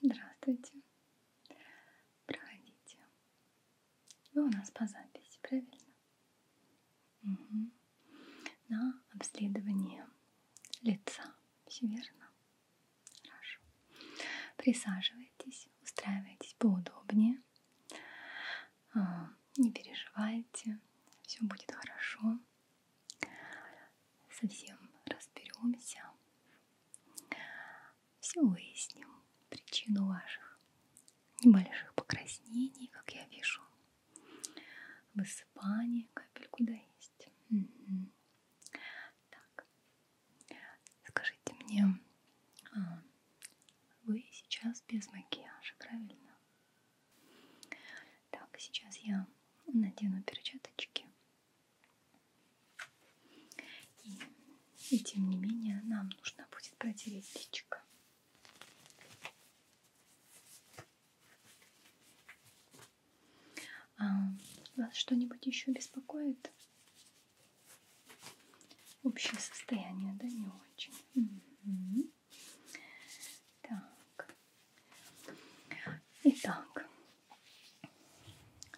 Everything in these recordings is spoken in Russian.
Здравствуйте. Проходите. Вы у нас по записи, правильно? Угу. На обследование лица. Все верно? Хорошо. Присаживайтесь, устраивайтесь поудобнее. А, не переживайте, все будет хорошо совсем разберемся, все выясним, причину ваших небольших покраснений, как я вижу, высыпание, капельку да есть. Угу. Так, скажите мне, а, вы сейчас без макияжа, правильно? Так, сейчас я надену перчаточки и, и тем не менее нам нужно будет протереть личико. А, вас что-нибудь еще беспокоит? Общее состояние, да, не очень. Угу. Так. Итак,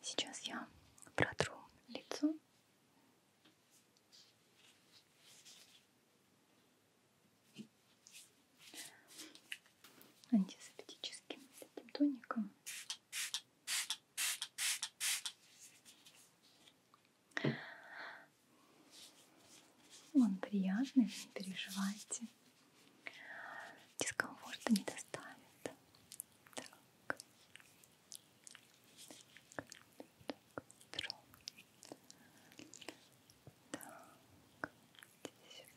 сейчас я протру лицо. антисептическим таким тоником. Он приятный, не переживайте дискомфорта не доставит. Так. Так. так. Здесь чуточку. Так. Здесь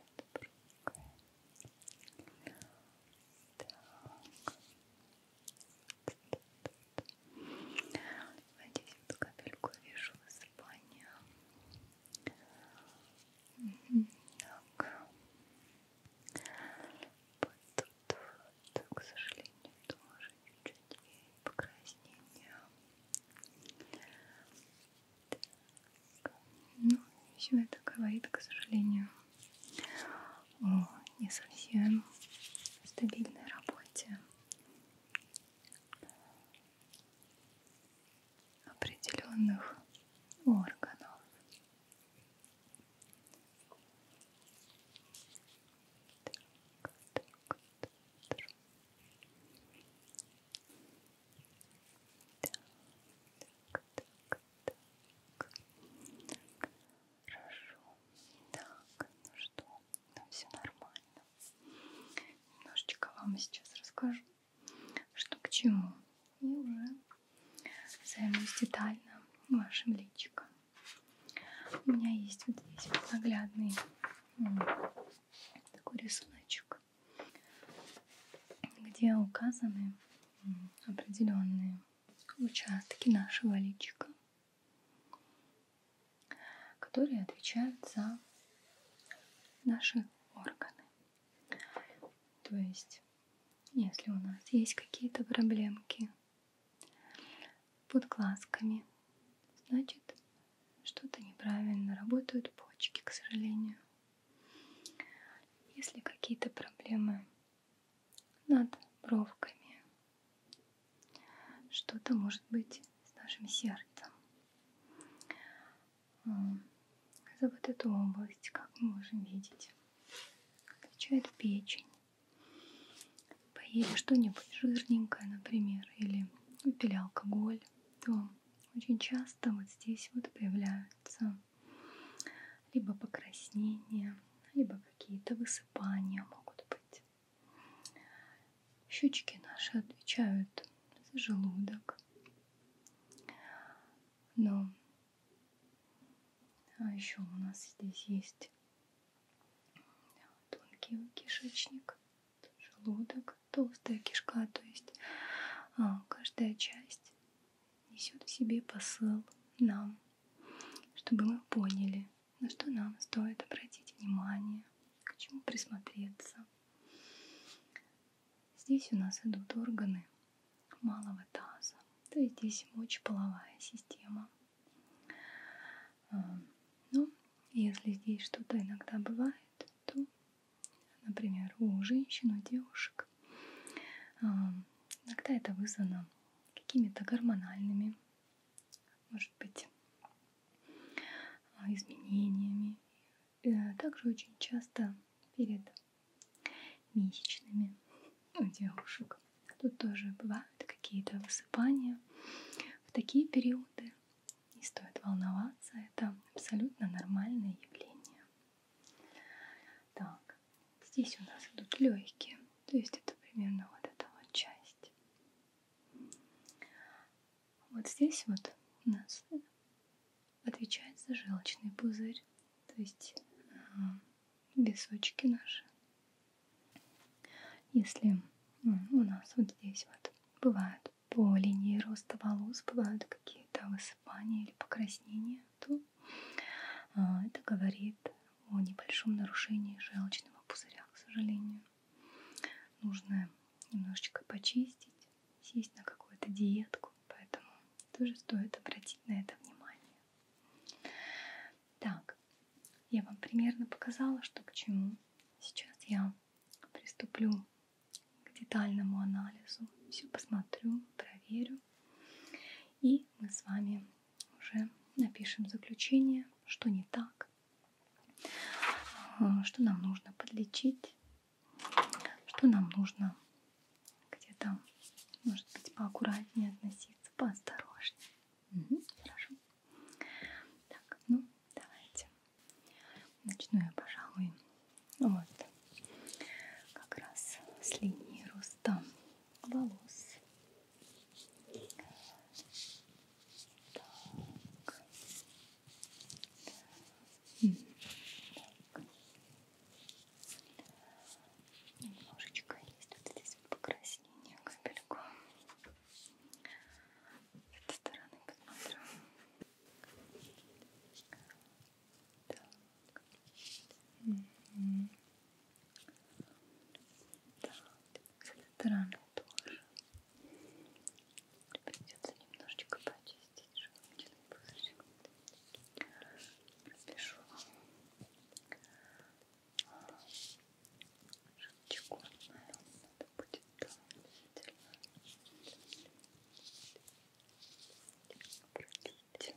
надо другое. Так. Здесь вот капельку вижу высыпания. Так. Вот тут, вот, к сожалению, тоже чуть-чуть покраснение. Так. Ну, все это говорит, к сожалению, о не совсем стабильной работе определенных органов. Так, так, так. Так, так, так. Хорошо. Так, ну что, ну все нормально. Немножечко вам сейчас расскажу, что к чему. И уже займусь детально вашим личиком. У меня есть вот здесь вот наглядный такой рисуночек, где указаны определенные участки нашего личика которые отвечают за наши органы. То есть, если у нас есть какие-то проблемки под глазками, значит, что-то неправильно работают почки, к сожалению. Если какие-то проблемы над бровками, что-то может быть с нашим сердцем. За вот эту область, как мы можем видеть, отвечает печень. Поели что-нибудь жирненькое, например, или выпили алкоголь, то очень часто вот здесь вот появляются либо покраснения, либо какие-то высыпания могут быть. Щечки наши отвечают за желудок. Но а еще у нас здесь есть тонкий кишечник, желудок, толстая кишка, то есть а, каждая часть несет в себе посыл нам, чтобы мы поняли, на что нам стоит обратить внимание, к чему присмотреться. Здесь у нас идут органы малого таза, то есть здесь мочеполовая система. А, ну, если здесь что-то иногда бывает, то, например, у женщин, у девушек, а, иногда это вызвано какими-то гормональными может быть, э, изменениями. Э, также очень часто перед месячными у девушек. Тут тоже бывают какие-то высыпания. В такие периоды не стоит волноваться, это абсолютно нормальное явление. Так, здесь у нас идут легкие. То есть это примерно вот эта вот часть. Вот здесь вот у нас отвечает за желчный пузырь, то есть э, височки наши. Если ну, у нас вот здесь вот бывают по линии роста волос, бывают какие-то высыпания или покраснения, то э, это говорит о небольшом нарушении желчного пузыря, к сожалению. Нужно немножечко почистить, сесть на какую-то диетку, поэтому тоже стоит обратить на это внимание. Так, я вам примерно показала, что к чему. Сейчас я приступлю к детальному анализу. Все посмотрю, проверю. И мы с вами уже напишем заключение, что не так, а, что нам нужно подлечить, что нам нужно где-то, может быть, поаккуратнее относиться, поосторожнее. Угу, хорошо. Так, ну, давайте. Начну я, пожалуй, вот как раз с линии роста волос. Так. Так. Немножечко есть вот здесь покраснение капельку. С этой стороны посмотрю. Так. Так, с этой стороны тоже. Придется немножечко почистить желудочный пузырь. Пропишу желчку. Надо будет там обязательно Продлить. Так.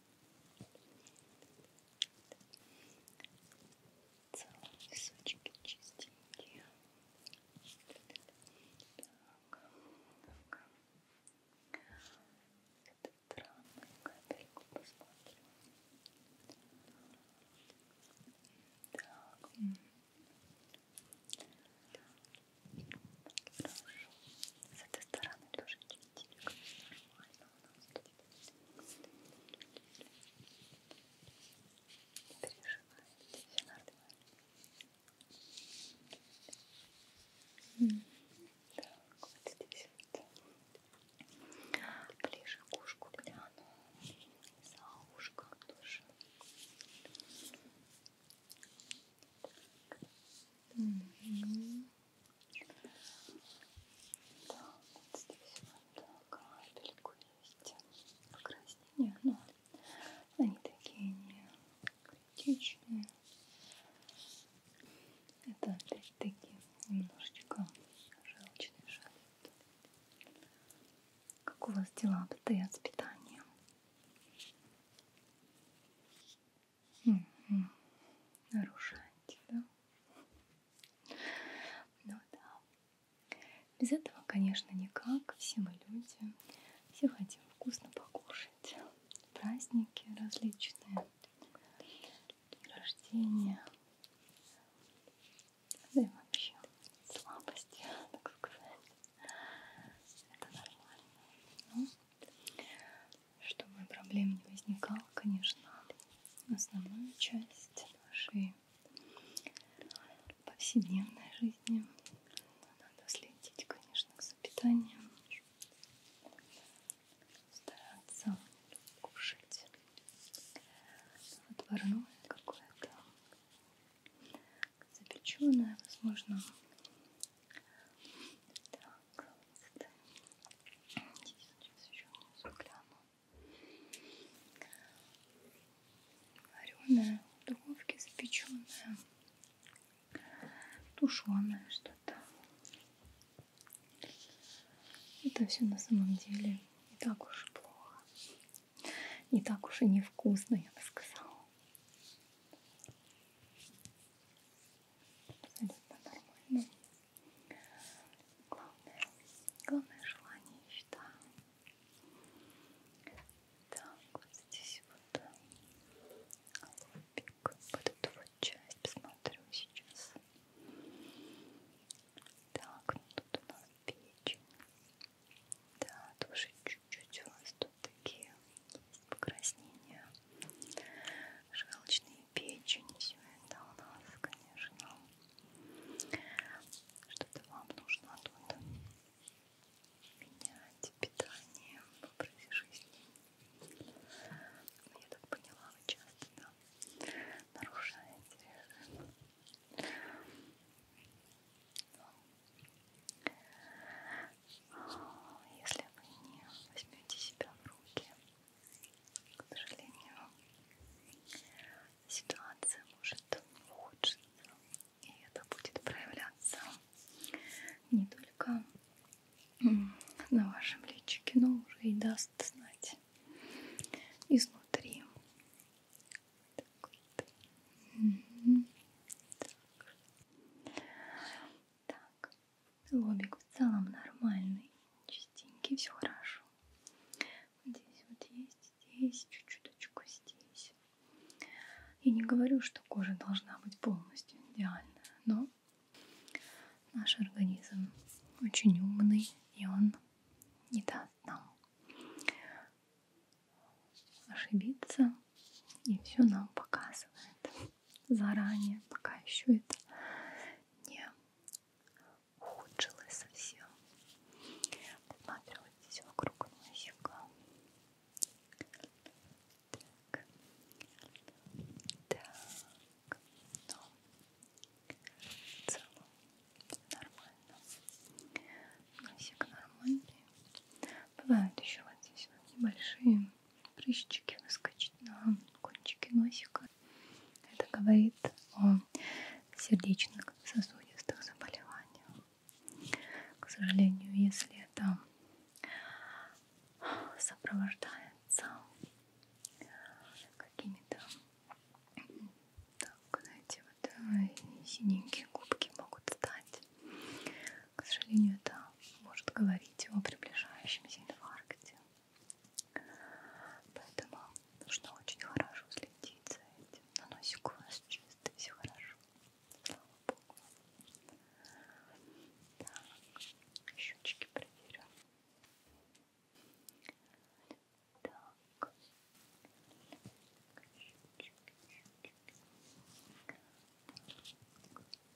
Целые кусочки чистенькие. Так, так. Этот странную капельку посмотрим. Так. так. Хорошо. С этой стороны тоже чистенькие телек нормально у нас тут. Не переживайте, все нормально. Mm. Так, вот здесь вот. Ближе к ушку гляну. За ушком тоже. Угу. Так, вот здесь вот капельку есть покраснения, но они такие не критичные. Это опять-таки немножечко желчный шарик. Как у вас дела обстоят с питанием? Угу. Нарушать, да? Ну да. Без этого, конечно, никак. Все мы люди. Все хотим вкусно покушать. Праздники различные. Рождения. Да и вообще слабости, так сказать. Это нормально. Ну, чтобы проблем не возникало, конечно, основную часть нашей повседневной жизни. Надо следить, конечно, за питанием, стараться кушать отварное какое-то запеченное, возможно, так, сейчас еще внизу гляну. Вареная, духовки запеченная, тушеная что-то. Это все на самом деле не так уж и плохо. Не так уж и невкусно, я бы сказала абсолютно нормально. Главное, главное желание и мечта. Так, вот здесь вот э, лобик, вот эту вот часть посмотрю сейчас. Так, ну тут у нас печень. Да, тоже чуть-чуть у вас тут такие покраснения, желчные печени, все это у нас, конечно, что-то вам нужно тут менять питание в образе жизни. Я так поняла, вы часто да, нарушаете режим. Но если вы не возьмете себя в руки, к сожалению, ситуация может ухудшиться, и это будет проявляться не только на вашем личике, но уже и даст знать изнутри. Так вот. так. так. Лобик в целом нормальный, чистенький, все хорошо. Здесь вот есть, здесь чуть-чуточку, здесь. Я не говорю, что кожа должна быть полностью идеальна, но наш организм очень умный, и он не даст нам ошибиться, и все нам показывает заранее, пока еще это не ухудшилось совсем. Посмотрю вот здесь вокруг носика. Так. Так. Ну, в целом нормально. Носик нормальный. Бывают еще вот здесь вот небольшие прыщики выскочить на кончике носика. Это говорит о сердечно-сосудистых заболеваниях. К сожалению, если это сопровождается какими-то так, знаете, вот э, синенькие губки могут стать. К сожалению, это может говорить о приближающемся инфаркте. Поэтому нужно очень хорошо следить за этим. Но носик у вас чистый, все хорошо. Слава Богу. Так, щечки проверю. Так, щечки, щечки. Так.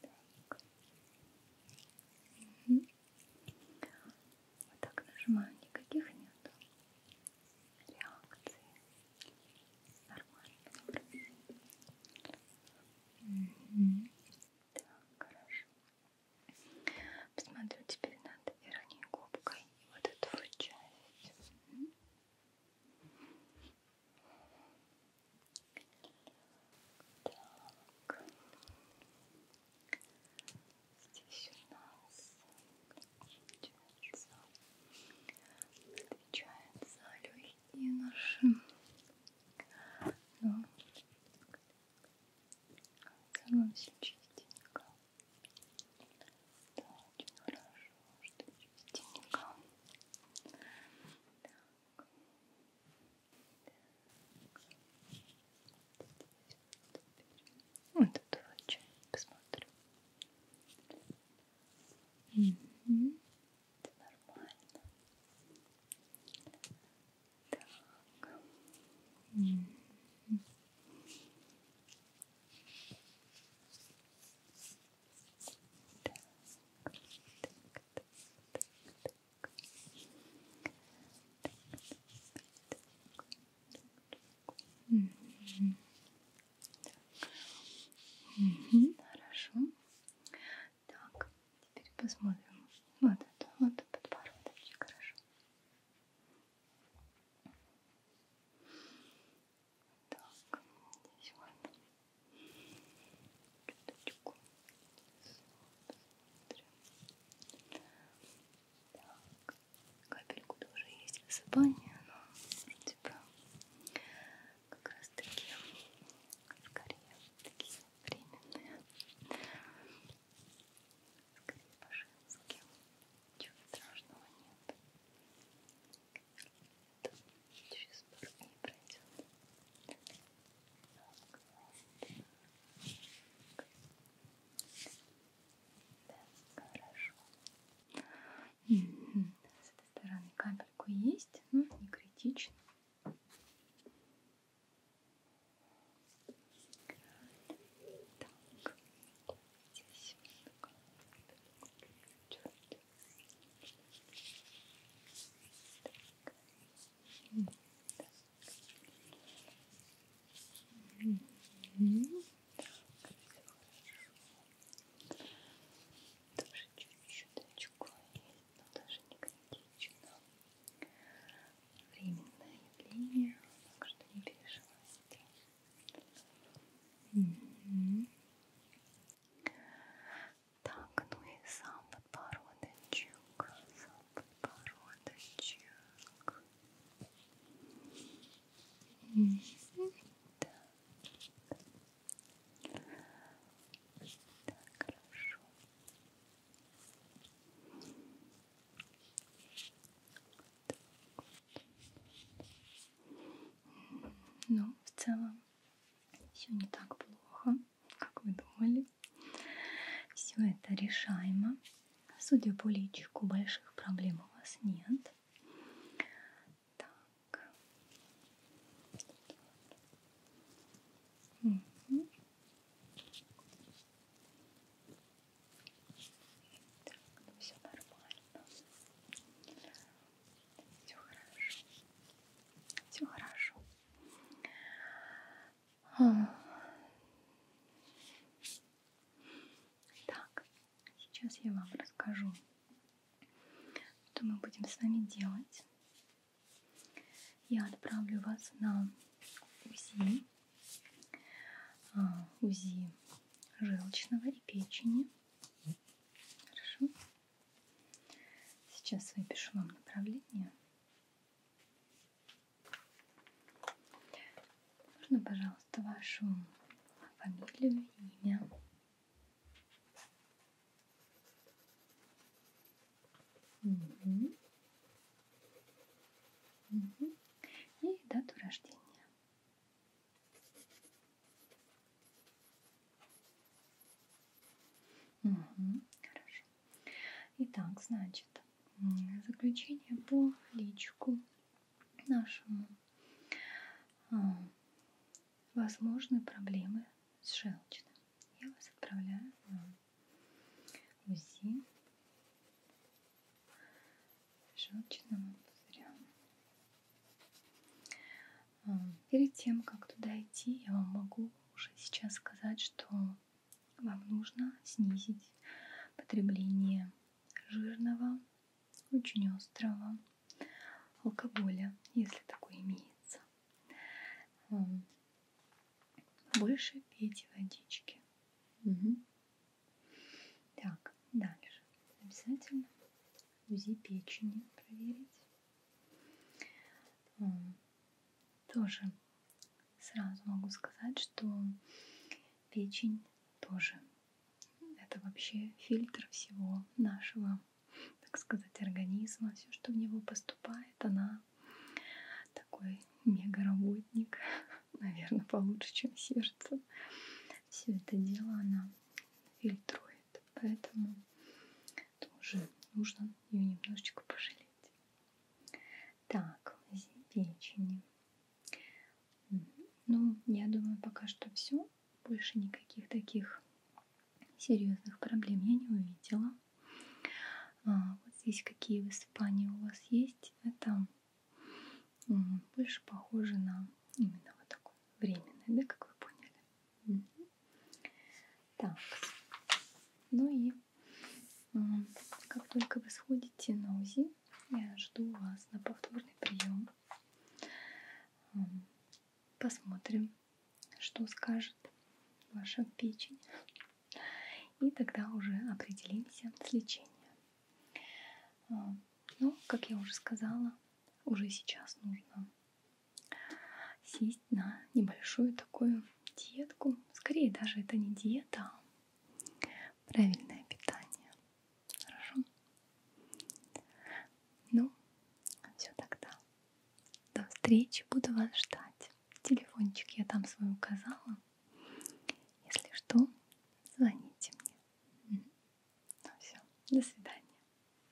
Так. Угу. Вот так нажимаю, никаких нет реакций. Нормально. Угу. Так, хорошо. Посмотрю теперь над верхней губкой. Вот эту вот часть. Так. Здесь у нас получается, отвечает за легкие наши. Но в целом все чистенько. Да, очень хорошо, что чистенько. Так. Вот тут вот посмотрю. Угу. Это нормально. Так. Угу. Так, так, так, так, так. Угу. Угу. Хорошо. Так, теперь посмотрим. Вот это, вот подбородочек, хорошо. Так, здесь вот. Киточку. Так. Капельку тоже есть высыпание, но типа как раз таки скорее такие временные. Скорее по-женски. Ничего страшного нет нет. Через пару дней пройдет. Так. Да, хорошо. С этой стороны капельку есть, но не критично. Так, здесь такая, такая, тоже чуть-чуть очко есть, но даже не критично. Временное явление, так что не переживайте. Угу. Так, ну и сам подбородочек, сам подбородочек. Mm -hmm. так. так, хорошо. Ну, в целом все не так плохо как вы думали. Все это решаемо. Судя по личику, больших проблем у вас нет. Так. Угу. Так, ну все нормально. Все хорошо. Все хорошо. Так, сейчас я вам расскажу, что мы будем с вами делать. Я отправлю вас на УЗИ, а, УЗИ желчного и печени. Хорошо? Сейчас выпишу вам направление. Можно, пожалуйста, вашу фамилию, имя. Угу. Угу. И дату рождения. Угу, хорошо. Итак, значит, заключение по личику нашему. А, возможны проблемы с желчным. Я вас отправляю на УЗИ желчного пузыря. Эм, перед тем, как туда идти, я вам могу уже сейчас сказать, что вам нужно снизить потребление жирного, очень острого алкоголя, если такой имеется. Эм, больше пейте водички. Угу. Так, дальше. Обязательно УЗИ печени проверить. Тоже сразу могу сказать, что печень тоже это вообще фильтр всего нашего, так сказать, организма. Все, что в него поступает, она такой мега-работник, наверное, получше, чем сердце. Все это дело она фильтрует. Поэтому тоже нужно ее немножечко пожалеть. Так, печени. Ну, я думаю, пока что все. Больше никаких таких серьезных проблем я не увидела. А, вот здесь какие высыпания у вас есть. Это больше похоже на именно вот такое временное, да, как вы поняли. Так, ну и а, как только вы сходите на УЗИ, я жду вас на повторный прием. А, посмотрим, что скажет ваша печень. И тогда уже определимся с лечением. А, ну, как я уже сказала, уже сейчас нужно сесть на небольшую такую диетку. Скорее даже это не диета, а правильное питание. Хорошо? Ну, все тогда. До встречи, буду вас ждать. Телефончик я там свой указала. Если что, звоните мне. Ну все, до свидания.